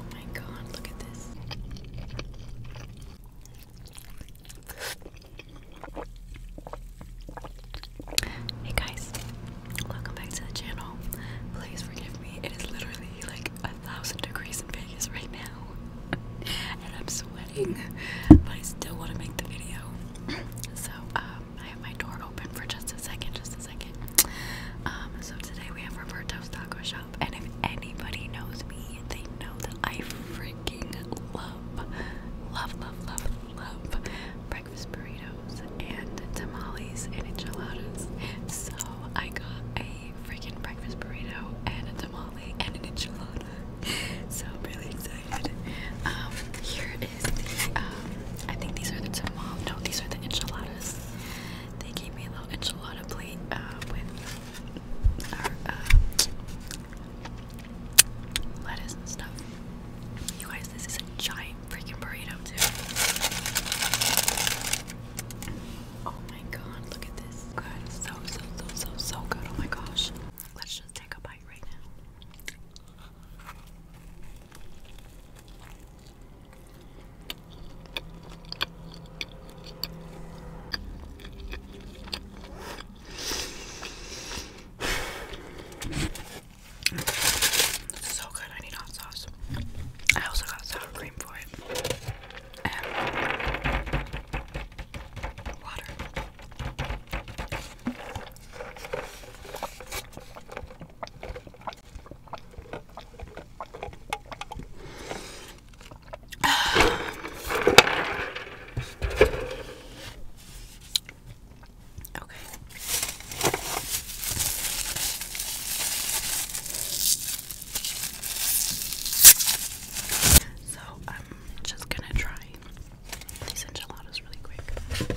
Oh my god, look at this. Hey guys, welcome back to the channel. Please forgive me, it is literally like a thousand degrees in Vegas right now. and I'm sweating, but I still want to make the video. So, um, I have my door open for just a second, just a second. Um, so today we have Roberto's Taco Shop. And if anybody knows me, they know that I freaking love, love, love, love, love breakfast burritos and tamales and enchiladas. So I got a freaking breakfast burrito and a tamale and an enchilada. So I'm really excited. Um, here is the um, I think these are the tamales. No, these are the enchiladas. They gave me a little enchilada plate uh, with uh, lettuce and stuff. You guys, this is a giant freaking burrito too. Oh my god, look at this. Good. So, so, so, so, so good. Oh my gosh. Let's just take a bite right now. So good, I need hot sauce. I also got sour cream for it. And water. Okay. So I'm just gonna try these enchiladas really quick.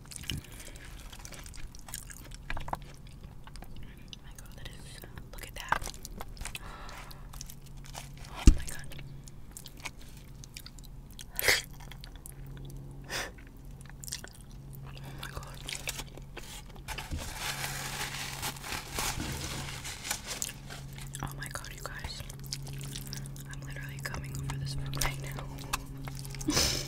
Oh my god, that is look at that. Oh my god. Oh my god. Oh my god, you guys. I'm literally coming over this room right now.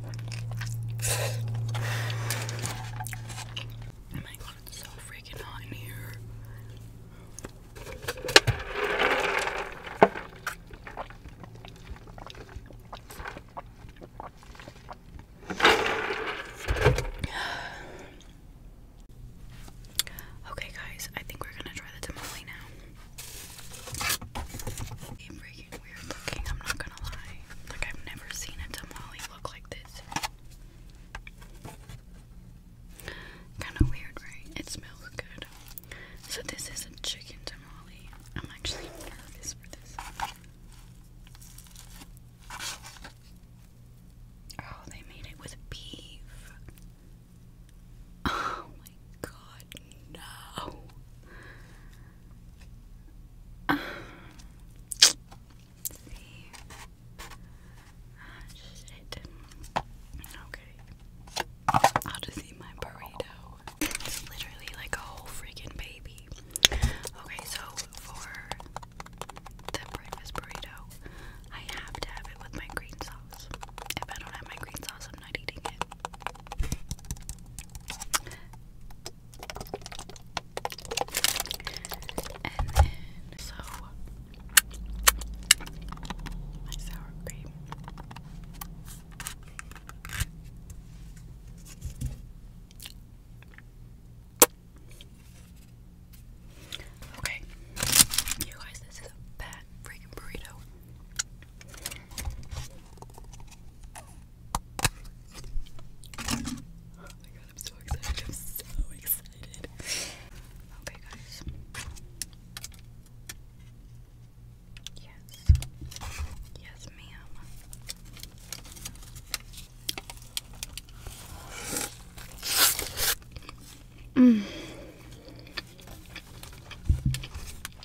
Oh my god, it's so freaking hot in here. Okay, guys, I think we're gonna try the tamale now. I'm I'm not gonna lie. Like, I've never seen a tamale look like this. Kind of weird, right? It smells good. So, this is a chicken tamale. I'm actually nervous for this. Oh, they made it with beef. Oh my god, no. Okay. I'll just eat my burrito. It's literally like a whole freaking baby. Okay, so for the breakfast burrito, I have to have it with my green sauce. If I don't have my green sauce, I'm not eating it. And then, uh, so my sour cream. Okay, you guys, this is a bad freaking burrito. Oh my god, I'm so excited. I'm so excited. Okay, guys. Yes. Yes, ma'am. Mm.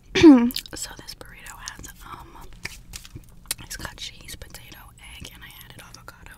so this burrito has um it's got cheese, potato, egg, and I added avocado.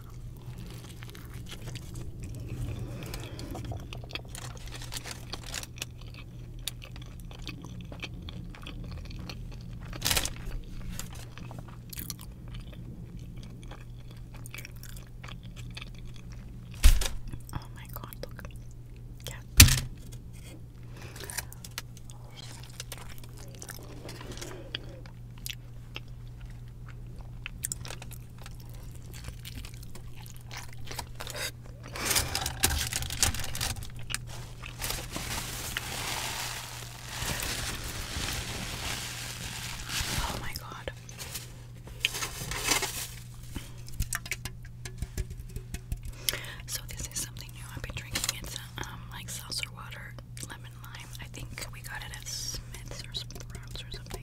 Oh my god, look. Yeah. Oh, my God. So, this is something new I've been drinking. It's um, like seltzer water lemon lime. I think we got it at Smith's or Sprouts or something.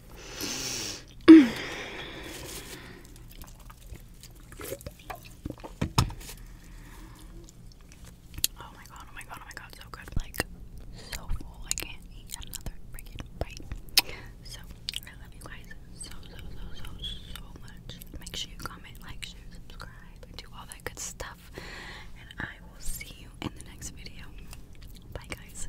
Oh my god, oh my god, oh my god, so good. Like, so full. I can't eat another freaking bite. So, I love you guys so, so, so, so, so much. Make sure you comment, like, share, subscribe, do all that good stuff. And I will see you in the next video. Bye, guys.